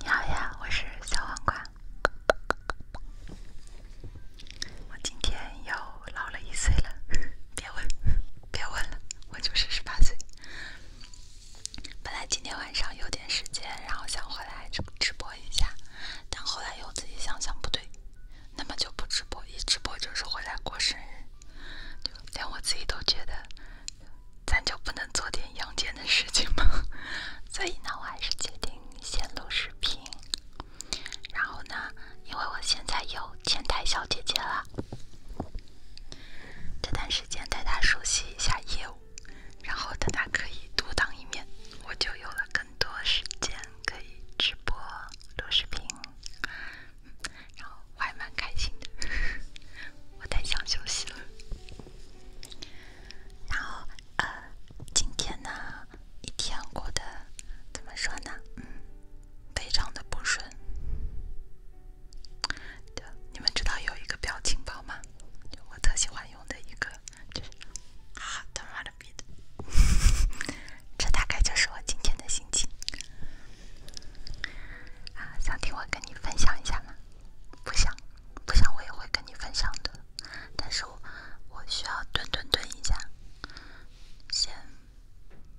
你好呀，我是小黄瓜。我今天又老了一岁了，别问，别问了，我就是十八岁。本来今天晚上有点时间，然后想回来直直播一下，但后来又自己想想不对，那么就不直播，一直播就是回来过生日。就连我自己都觉得，咱就不能做点阳间的事情吗？所以呢，我还是决定先录视频。然后呢，因为我现在有前台小姐姐了，这段时间带她熟悉一下业务，然后等她可以独当一面，我就有了更多时间可以直播录视频。然后我还蛮开心的，我太想休息了。然后呃，今天呢，一天过得怎么说呢？嗯，非常的不顺。的你们知道有一个表情包吗？我特喜欢用的一个，哈哈，他妈的逼的，这大概就是我今天的心情。啊，想听我跟你分享一下吗？不想，不想，我也会跟你分享的。但是我我需要蹲蹲蹲一下，先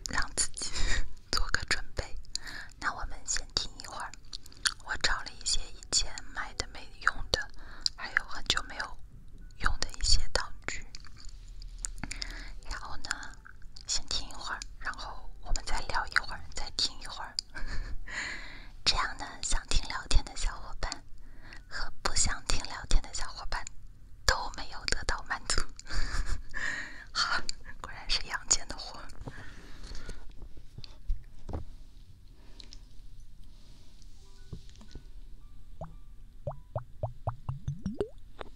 让自己 做个准备。那我们先听一会儿。我找了一些以前买的没用的，还有很久没有用的一些道具。然后呢？先听一会儿，然后我们再聊一会儿，再听一会儿。这样呢，想听聊天的小伙伴和不想听聊天的小伙伴都没有得到满足。好，果然是阳间的活。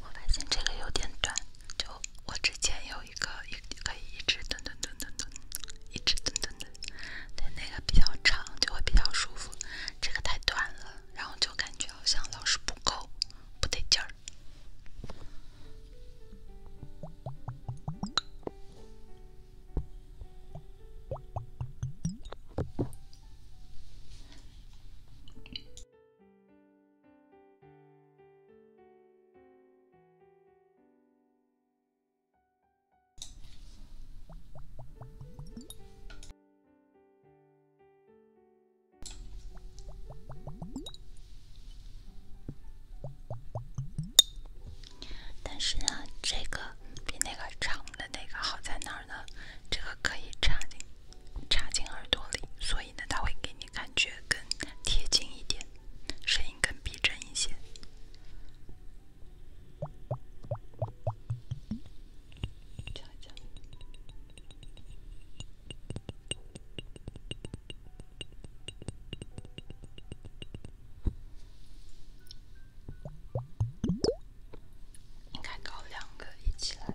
我发现这个有点短，就我之前有一个一可以一直蹲蹲蹲蹲蹲，一直蹲蹲蹲，它那个比较长，就会比较舒服。这个太短了，然后就感觉好像老是不够，不得劲儿。但是呢，这个比那个长的那个好在哪儿呢？这个可以插进。插进耳朵里，所以呢，它会给你感觉更贴近一点，声音更逼真一些。应该搞两个一起来。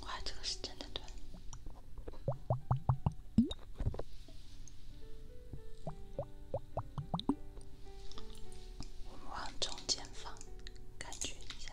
哇，这个是真的短。我们往中间放，感觉一下。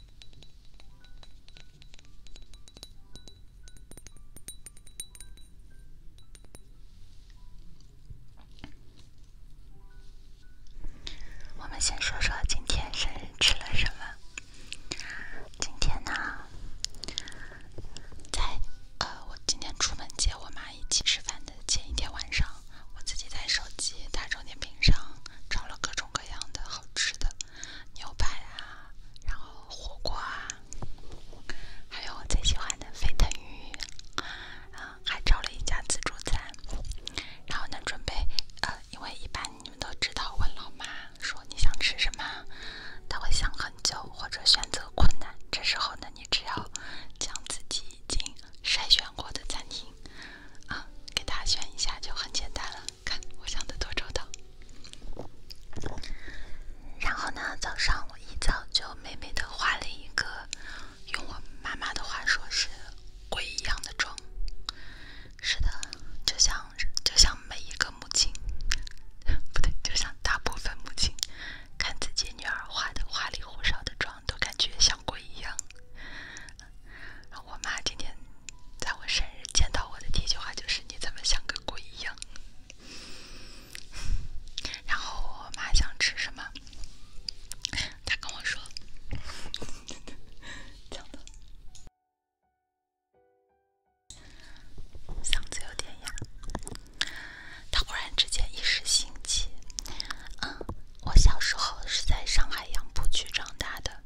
我们先说说今天生日吃了什么。今天呢，在呃，我今天出门接我妈一起吃饭的前一天晚上。我自己在手机大众点评上找了各种各样的好吃的，牛排啊，然后火锅啊，还有我最喜欢的沸腾鱼啊，还找了一家自助餐。然后呢，准备呃，因为一般你们都知道问老妈说你想吃什么，她会想很久或者选择困难。这时候呢，你只要将自己已经筛选过的餐厅。啊，给他选一下就很简单了。看，我想的多周到。然后呢，早上我一早就美美的画了一个，用我妈妈的话说是鬼一样的妆。是的，就像就像每一个母亲，不对，就像大部分母亲，看自己女儿画的花里胡哨的妆，都感觉像鬼一样。然后我妈今天在我生日见到我的第一句话就是：“你怎么像个鬼一样？”然后我妈想吃什么，她跟我说：“真嗓子有点哑。”她忽然之间一时兴起，嗯，我小时候是在上海杨浦区长大的。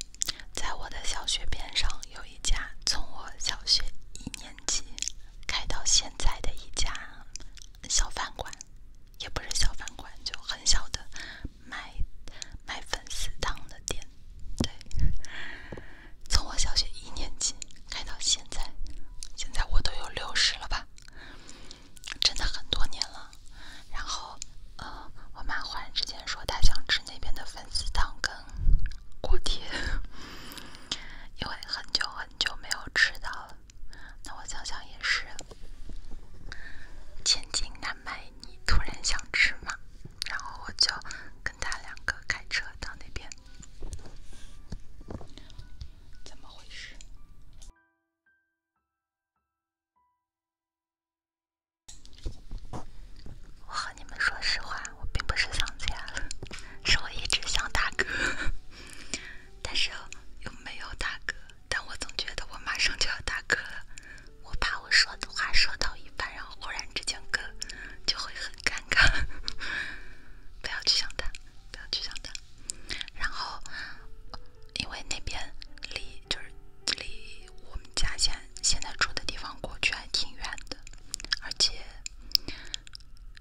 在我的小学边上有一家从我小学一年级开到现在的一家小饭馆，也不是小饭馆，就很小的卖卖粉丝汤的店。对，从我小学一年级开到现在，现在我都有六十了吧？真的很多年了。然后，呃，我妈忽然之间说她想吃那边的粉丝汤跟锅贴，因为很久很久没有吃到了。那我想想也是，千金难买你突然想吃嘛。然后我就跟他两个开车到那边，怎么回事？我和你们说实话，我并不是想切，是我一直想打嗝，但是又没有打嗝，但我总觉得我马上就要打嗝了，我怕我说的话说到一半，然后忽然之间嗝，就会很尴尬。不要去想他，不要去想他。然后，因为那边离就是离。我们家现现在住的地方，过去还挺远的，而且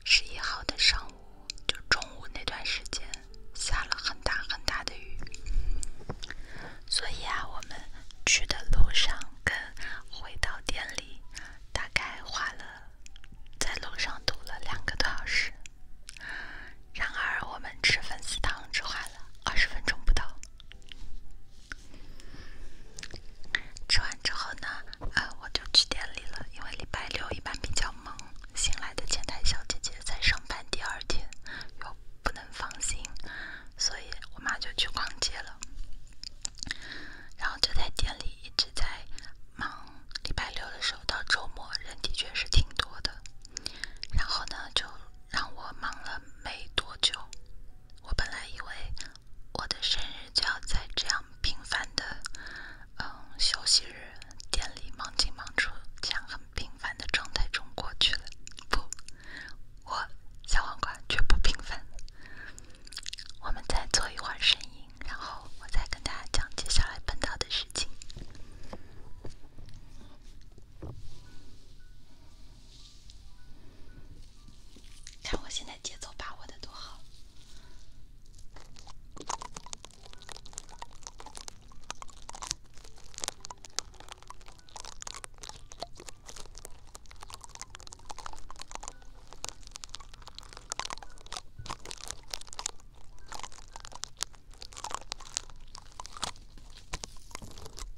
十一号的上午，就中午那段时间，下了很大很大的雨，所以啊，我们去的路上跟回到店里，大概花了，在路上堵了两个多小时。然而，我们吃粉丝汤吃完了二十分钟不到。吃完之后呢，呃，我就去店里了，因为礼拜六一般比较忙，新来的前台小姐姐在上班第二天又不能放心，所以我妈就去逛街了。然后就在店里一直在忙。礼拜六的时候到周末，人的确是挺多的。然后呢，就。让我忙了没多久，我本来以为我的生日就要在这样平凡的，嗯，休息日店里忙进忙出这样很平凡的状态中过去了。不，我小黄瓜绝不平凡。我们再做一会儿声音，然后我再跟大家讲接下来碰到的事情。看我现在节奏把握的多好！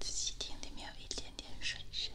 仔细听，里面一点点水声。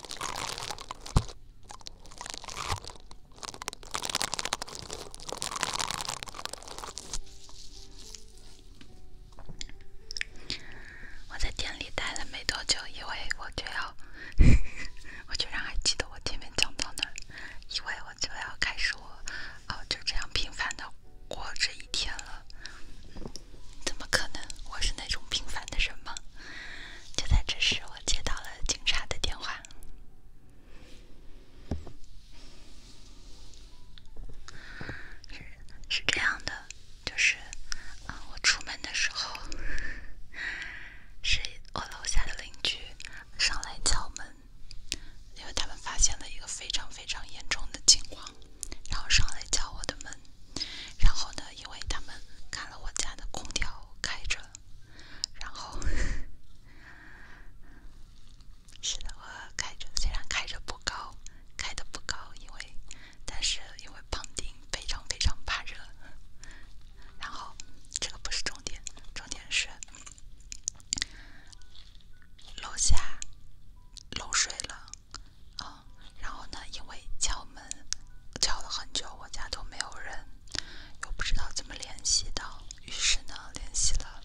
我在店里待了没多久，因为我就要，我就让还记得我前面讲到那，因为我就要开始我，哦，就这样平凡的过这一天了。怎么可能？我是那种平凡的人吗？就在这时，我接到了警察的电话。是是这样的，就是啊，我出门的时候，是我楼下的邻居上来敲门，因为他们发现了一个非常非常严重的情况，然后上来敲我的门。然后呢？因为他们看了我家的空调开着，然后 是的，我开着，虽然开着不高，开的不高，因为但是因为胖丁非常非常怕热。然后这个不是重点，重点是楼下漏水了。啊，然后呢？因为敲门敲了很久，我家都没有人，又不知道怎么联系到。于是呢，联系了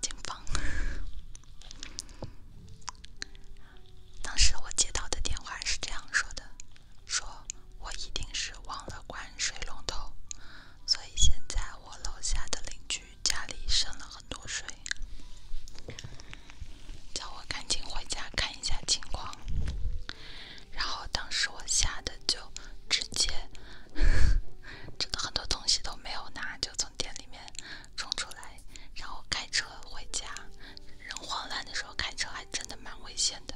警方。当时我接到的电话是这样说的：“说我一定是忘了关水龙头，所以现在我楼下的邻居家里剩了很多水。”叫我赶紧回家看一下情况，然后当时我吓得就直接，真的很多东西都没有拿，就从店里面冲出来，然后开车回家。人慌乱的时候开车还真的蛮危险的，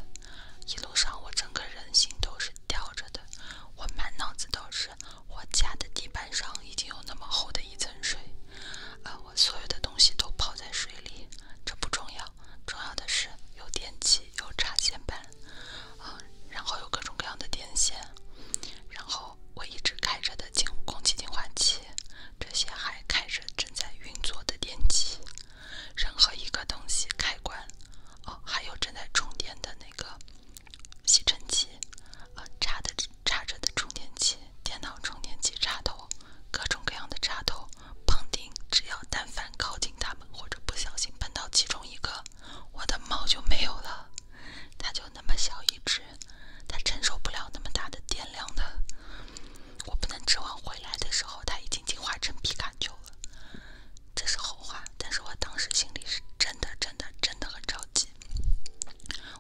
一路上我整个人心都是吊着的，我满脑子都是我家的地板上已经有那么厚的一层水。啊，我所有的东西都泡在水里，这不重要，重要的是有电器，有插线板，啊，然后有各种各样的电线，然后我一直开着的净空气净化器，这些还开着正在运作的电器，任何一个东西开关，哦，还有正在充电的那个吸尘器，啊，插的插着的充电器，电脑充电器插头。各种各样的插头、碰钉，只要但凡靠近它们，或者不小心碰到其中一个，我的猫就没有了。它就那么小一只，它承受不了那么大的电量的。我不能指望回来的时候它已经进化成皮卡丘了，这是后话。但是我当时心里是真的、真的、真的很着急。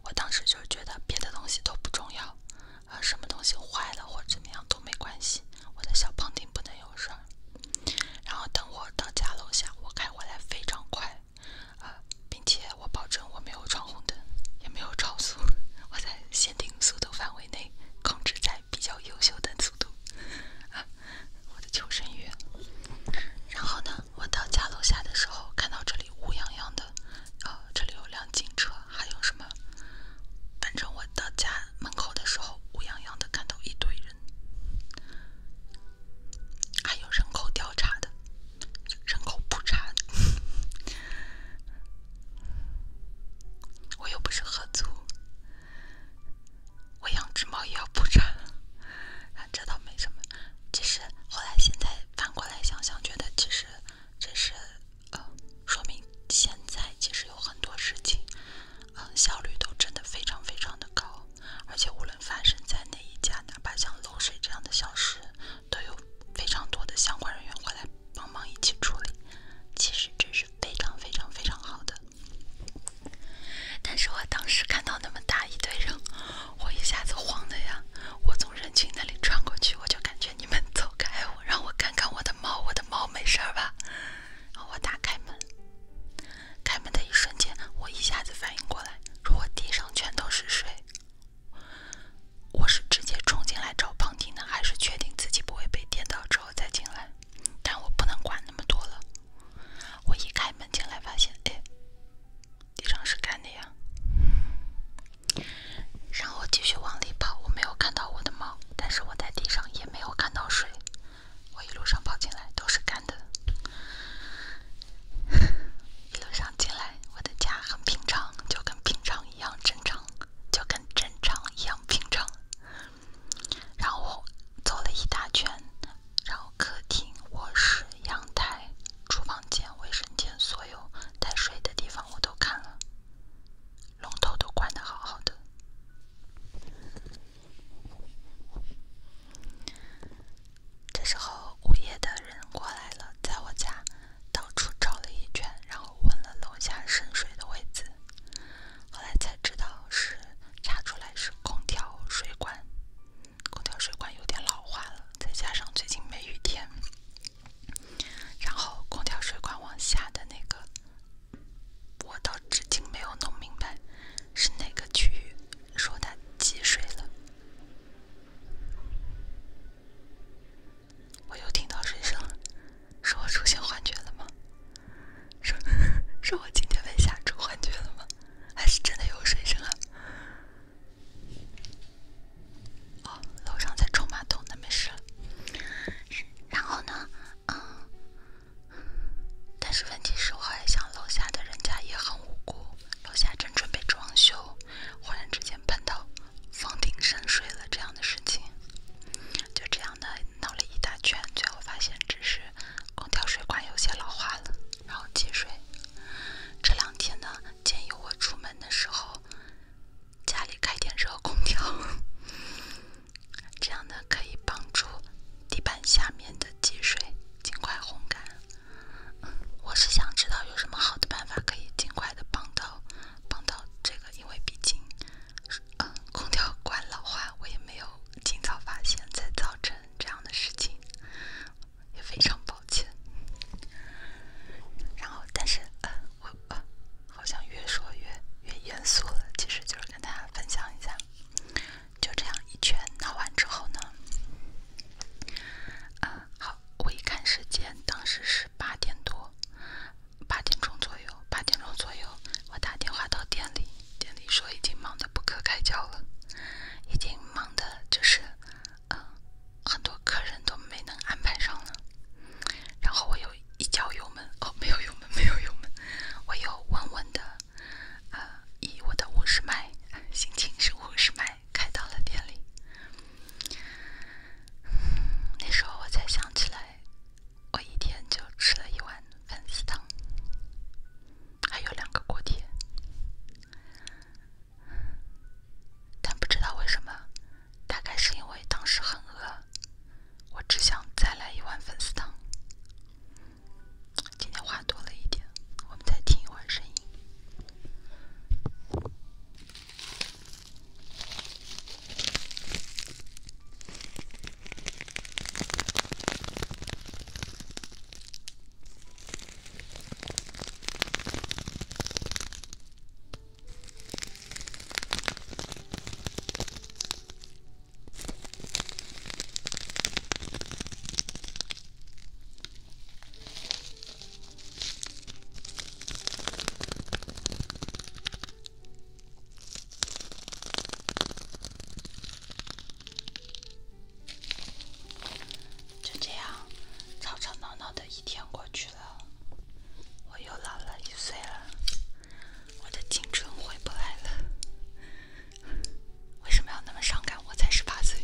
我当时就觉得别的东西都不重要。啊，什么东西坏了或者怎么样都没关系，我的小胖丁不能有事儿。然后等我到家楼下，我开回来非常快啊，并且我保证我没有闯红灯，也没有超速，我在限定速度范围内控制在比较优秀的速度。我的求生欲。然后呢，我到家楼下的时候，看到这里乌泱泱的，啊，这里有辆警车。还有什么？反正我到家门口的时候，乌泱泱的看到一堆人，还有人口调查的，人口普查。的。我又不是喝足，我养只猫也要普查。这倒没什么，只是后来现在反过来想想，觉得其实。这是呃，说明现在其实有很多事情，呃，效率都真的非常非常的高，而且无论发生在哪一家，哪怕像漏水这样的小事，都有非常多的相关人员会来帮忙一起处理。其实真是非常非常非常好的。但是我当时看到那么大一堆人，我一下子慌的呀！我从人群那里穿过去，我就感觉。你们走开，我让我看看我的猫，我的猫没事儿吧？我打开门，开门的一瞬间，我一下子反应过来，如果地上全都是水，我是直接冲进来找旁听呢，还是确定自己不会被电到之后再进来？但我不能管那么多了，我一开门进来发现，诶，地上是干的呀。然后继续往里跑，我没有看到我的猫，但是我在地上也没有看到水。我一路上跑进来都是干的。一路上进来，我的家很平常，就跟平常一样正常，就跟正常一样平常。然后走了一大圈，然后客厅、卧室、阳台、厨房间、卫生间，所有带水的地方我都看了。龙头都关的好好的，这时候物业的人过来了，在我家到处找了一圈，然后问了楼下渗水的位置，后来才知道是查出来是空调水管，空调水管有点老化了，再加上最近梅雨天。然后空调水管往下的那个，我到至今没有弄明白是哪个区域说它积水了。我又听到水声了，说我出现幻觉了吗？说说我今天被吓出幻觉了吗？还是真的有水声啊？哦，楼上在冲马桶，那没事然后呢，嗯，但是问题是我还想，楼下的人家也很无辜，楼下正准备装修，忽然之间碰到房顶渗水了这样的事情，就这样的闹了一大圈，最后发现只是空调水管有些老化了，然后积水。这两天呢，建议我出门的时候。家里开点热空调，这样呢可以帮助地板下面的积水尽快烘干。我是想知道有什么好的办法可以尽快的帮到帮到这个，因为毕竟，嗯，空调管老化，我也没有尽早发现，才造成这样的事情，也非常抱歉。然后，但是，嗯，我。啊，好像越说越越严肃了。其实就是跟大家分享一下，就这样一圈闹完之后呢，啊，好，我一看时间，当时是八点多，八点钟左右，八点钟左右，我打电话到店里，店里说已经忙得不可开交了，已经忙得就是，嗯，很多客人都没能安排上了。然后我又一脚油门，哦，没有油门，没有油门，我又稳稳的，呃，以我的五十迈，心情是五十迈，开到了店里。那时候我才想起来，我一天就吃了一碗粉丝汤，还有两个锅贴，但不知道为什么。大概是因为当时很饿，我只想再来一碗粉丝汤。今天话多了一点，我们再听一会儿声音。就这样，吵吵闹闹的一天过去。我又老了一岁了，我的青春回不来了。为什么要那么伤感？我才十八岁。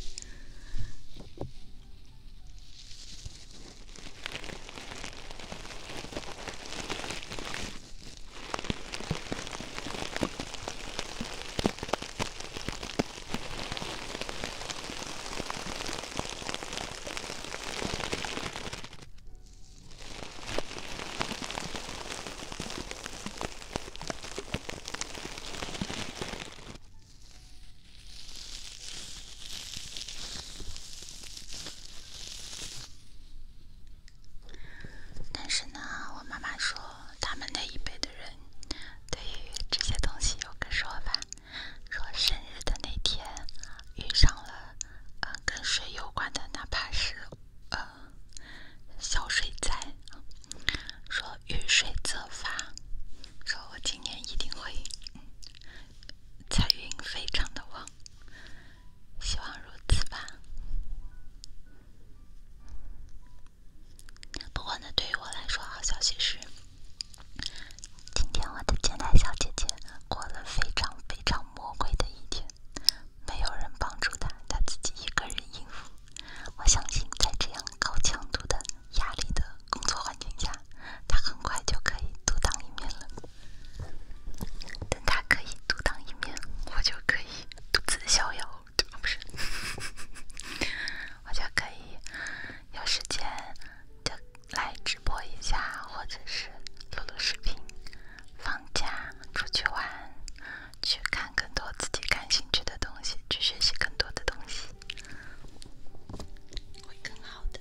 但是呢，我妈妈说，他们那一辈的人对于这些东西有个说法。说生日的那天遇上了，嗯，跟水有关的，哪怕是，呃，小水灾，说遇水则发，说我今年一定会，财运非常的旺，希望如此吧。不过呢，对于我来说，好消息是。今天我的前台小姐姐过了非常非常魔鬼的一天，没有人帮助她，她自己一个人应付。我相信在这样高强度的压力的工作环境下，她很快就可以独当一面了。等她可以独当一面，我就可以独自逍遥。不是，我就可以有时间就。来直播一下，或者是录录视频，放假出去玩，去看更多自己感兴趣的东西，去学习更多的东西，会更好的。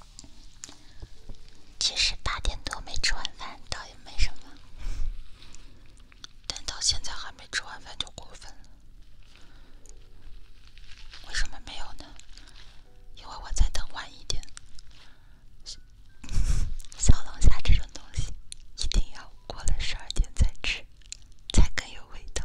其实八点多没吃完饭倒也没什么，但到现在还没吃完饭就过分了。为什么没有呢？因为我再等晚一点。小龙虾这种东西一定要过了十二点再吃，才更有味道。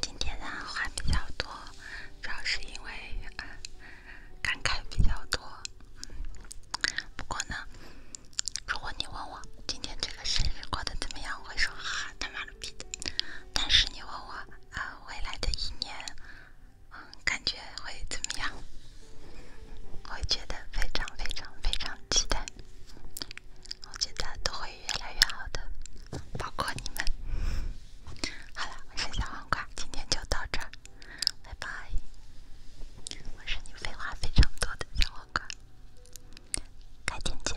今天呢话比较多，主要是因为感慨比较多。不过呢，如果你问我今天这个生日过得怎么样，我会说，哈他妈的逼的。但是你问我啊，未来的一年。嗯，感觉会怎么样？会觉得非常非常非常期待。我觉得都会越来越好的，包括你们。好了，我是小黄瓜，今天就到这儿，拜拜。我是你废话非常多的小黄瓜，改天见。